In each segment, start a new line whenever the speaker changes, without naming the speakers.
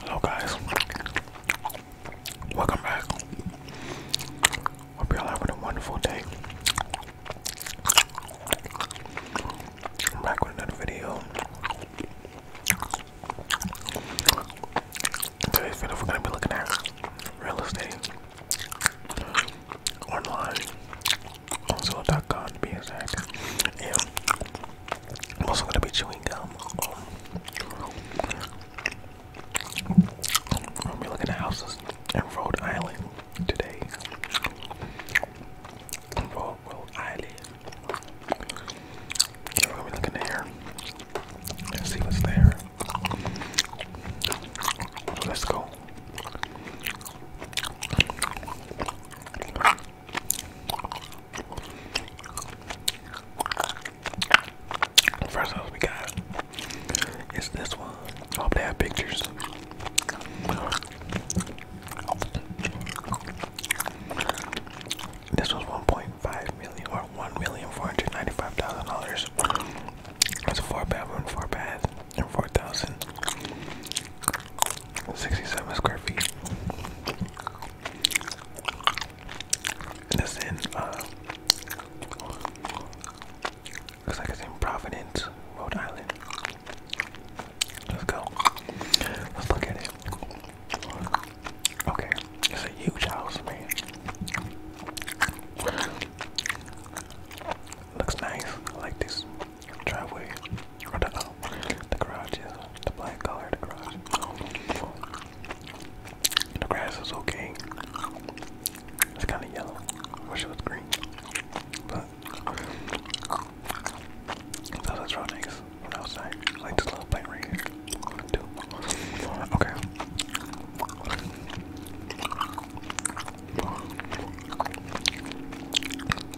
Hello guys, welcome back. Hope y'all having a wonderful day. I'm back with another video. today's video, we're gonna be looking at real estate online on Zillow.com to be exact. I'm also gonna be chewing gum. We're looking at houses in Rhode Island today. Rhode, Rhode Island. We're gonna be looking there and see what's there. Let's go. First house we got is this one. I hope they have pictures. This was $1.5 million or $1,495,000. It's a four bedroom, four bath, and 4000 67 square feet. And it's in, uh, looks like it's in Providence, Rhode Island. Let's go. Let's look at it. Okay, it's a huge house, man. Looks nice. I like this driveway, the, oh, the garage, yeah, the garage. The grass is okay. It's kind of yellow. I wish it was green, but that outside. Like this little plant right here. Two. Okay.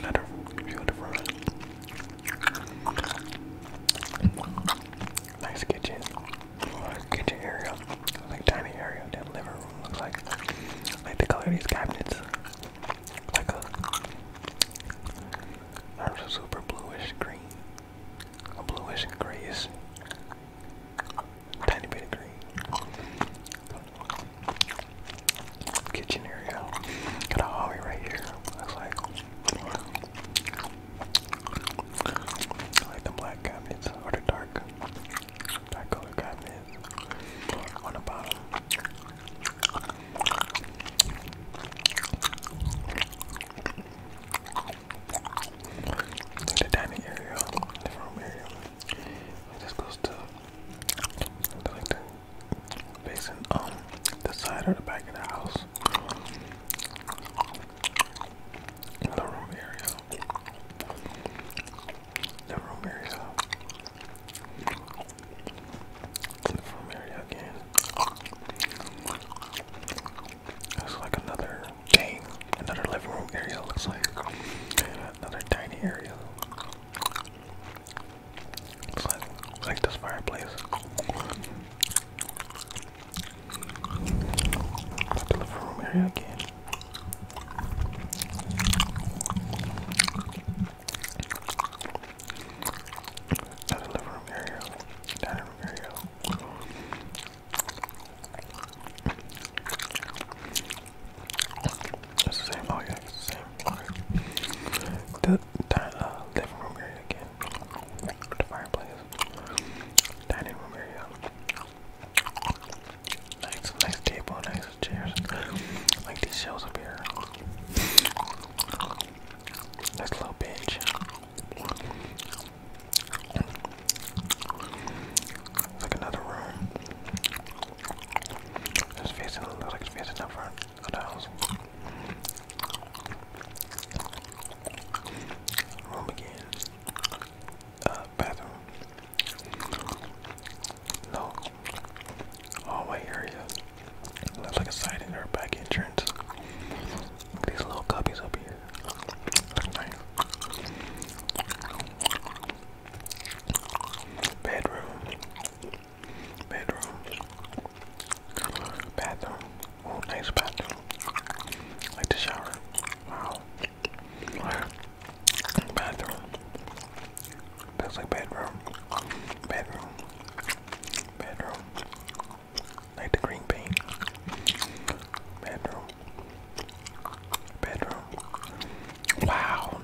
Another view of the front. Nice kitchen. Kitchen area. Like tiny area. That living room looks like. Like the color of these cabinets. Like a super bluish green. A bluish and Tiny bit of green kitchen area. Got a hallway right here. Looks like. like the black cabinets or the dark, dark color cabinets on the bottom. The dining area, the room area. It goes to, the facing um the side or the back of the house the room area. The room area. The room area again. That's like another another living room area looks like. Another tiny area. Like, like this fireplace. living room area living room area. Dining room area. same. Oh yeah, same. Okay. The uh, living room area again. The fireplace. Dining room area. Nice, nice table, nice chairs. Like these shelves up here. Nice little bench. like another room. It's facing, looks like it's facing up front. What else? Room again. Uh, bathroom. No. Hallway area. Looks like a side in or back entrance. these little cubbies up here. nice. Bedroom. Bedroom. Bathroom. Oh, nice bathroom. Like the shower. Wow. Bathroom. That's like bedroom. Bedroom. Bedroom. Like the green paint. Bedroom. Bedroom. Wow.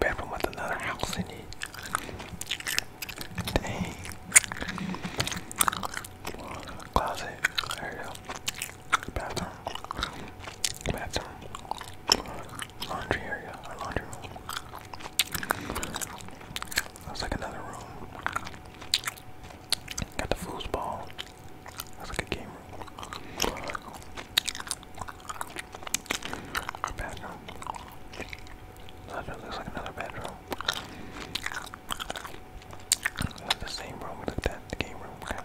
Bedroom with another house in it. Dang. Closet. There you go. Bathroom. Bathroom. Laundry area. laundry room. That's like another room. Got the foosball. That's like a game room. Our bedroom. That looks like another bedroom. the same room we looked at, game room,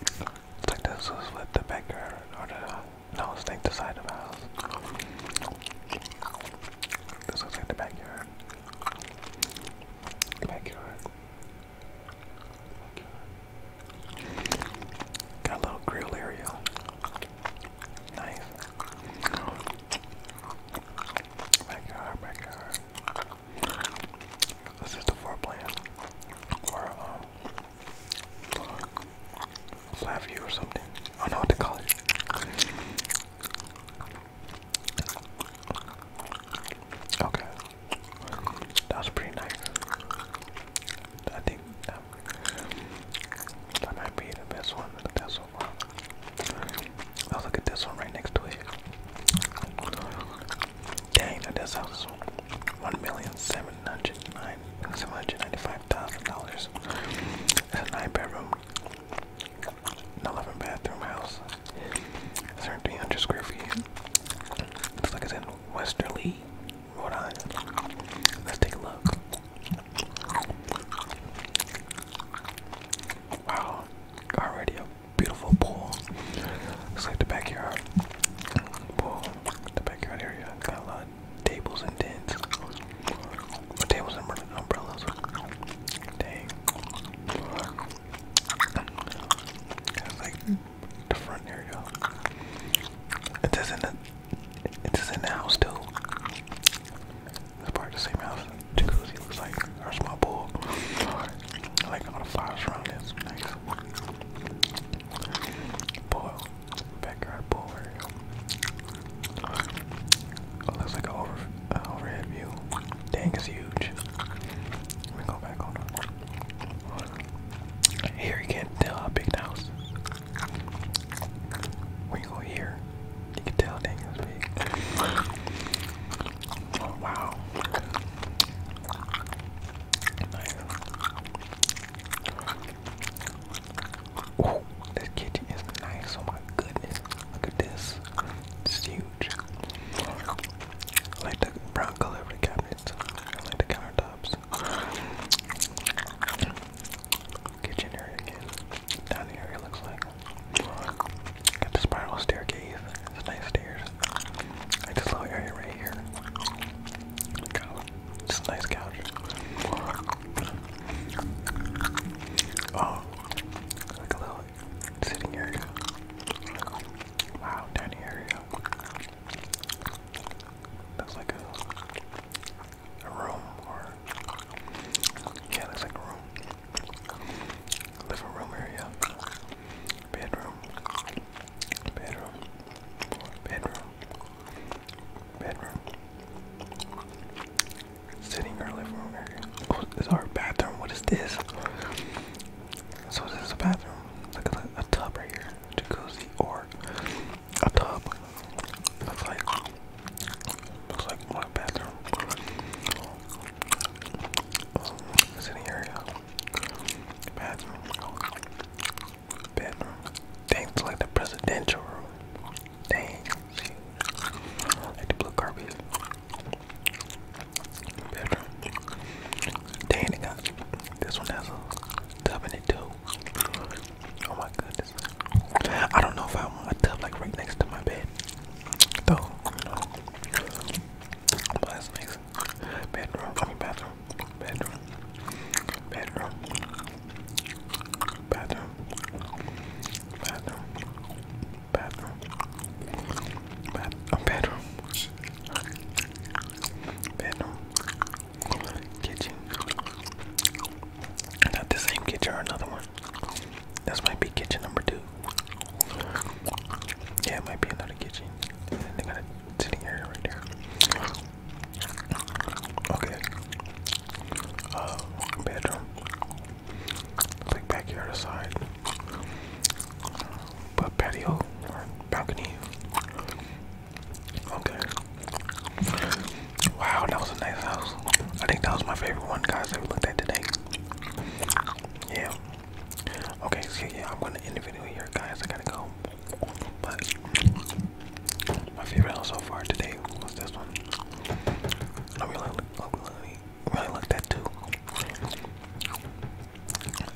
It's like this was with the backyard, or the, no, it's like the side of house. This looks like the backyard. Backyard. Backyard. Got a little grill area. Nice. Backyard, oh backyard. Oh this is the floor plan. Or, um, flat view or something. I know what to call it. Okay. That was pretty nice. I think them. That might be the best one. The best one. Oh, look at this one right next to it. Dang, that does house one million seven hundred nine seven hundred ninety-five thousand dollars. That's a nine-bedroom, eleven-bathroom house. It's three hundred square feet. Looks like it's in Westerly, Rhode Island. Let's take a look. Wow, already a beautiful pool. Looks like the backyard the backyard area. Got a lot of tables and tents, tables and umbrellas. Dang. It's like the front there It is in the it is in the house too. It's part of the same house. Jacuzzi looks like our small pool. like all the flowers around it. It's Backyard pool there you looks like an overhead view. Dang, it's huge. Let me go back on. Here you can't tell how big the house When you go here, you can tell dang it's big. Oh wow. this kitchen is nice. Oh my goodness. Look at this. It's huge. like the brown color of the cabinets. I like the countertop. Kitchen area again. area looks like. Got the spiral staircase. It's nice stairs. Like this little area right here. Got this nice couch. Oh, like a little sitting area. Wow, dining area. That's like a, a room, or yeah, that's like a room, living room area, bedroom, bedroom, bedroom, bedroom, sitting or living room area. is our bathroom. What is this? So this is a bathroom. Look at a, a tub right here cozy, or a tub. That's like that's like my bathroom. sitting um, area, bathroom, bedroom. Things like the presidential room. Dang, like the blue carpet. Bedroom. Dang, it this one has 72. Oh my goodness. I don't know if I want a tub like right next to my bed. Though, you know. But Bedroom, I mean bathroom. Bedroom. Bedroom. Bathroom. Bathroom. Bathroom. Bathroom. Bedroom. Bedroom. Bedroom kitchen. Not the same kitchen or another one. This might be kitchen number two. Yeah, it might be another kitchen. And then they got a sitting area right there. Okay. Uh, bedroom. Like backyard aside. But patio or balcony. Okay. Wow, that was a nice house. I think that was my favorite one, guys, that we looked at today. Yeah. Okay, Excuse yeah, I'm gonna end the video here, guys. I gotta go. But my favorite house so far today was this one. I really, really, really looked at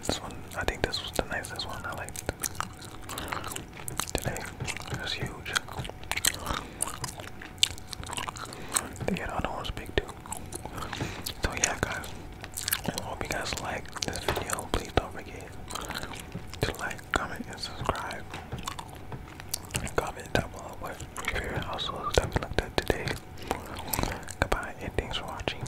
this one, I think this was the nicest one I liked today. It was huge. They get other ones big too. So yeah, guys. I hope you guys like this video. Please don't forget to like, comment, and subscribe. comment down below what your favorite households looked at today. Goodbye, and thanks for watching.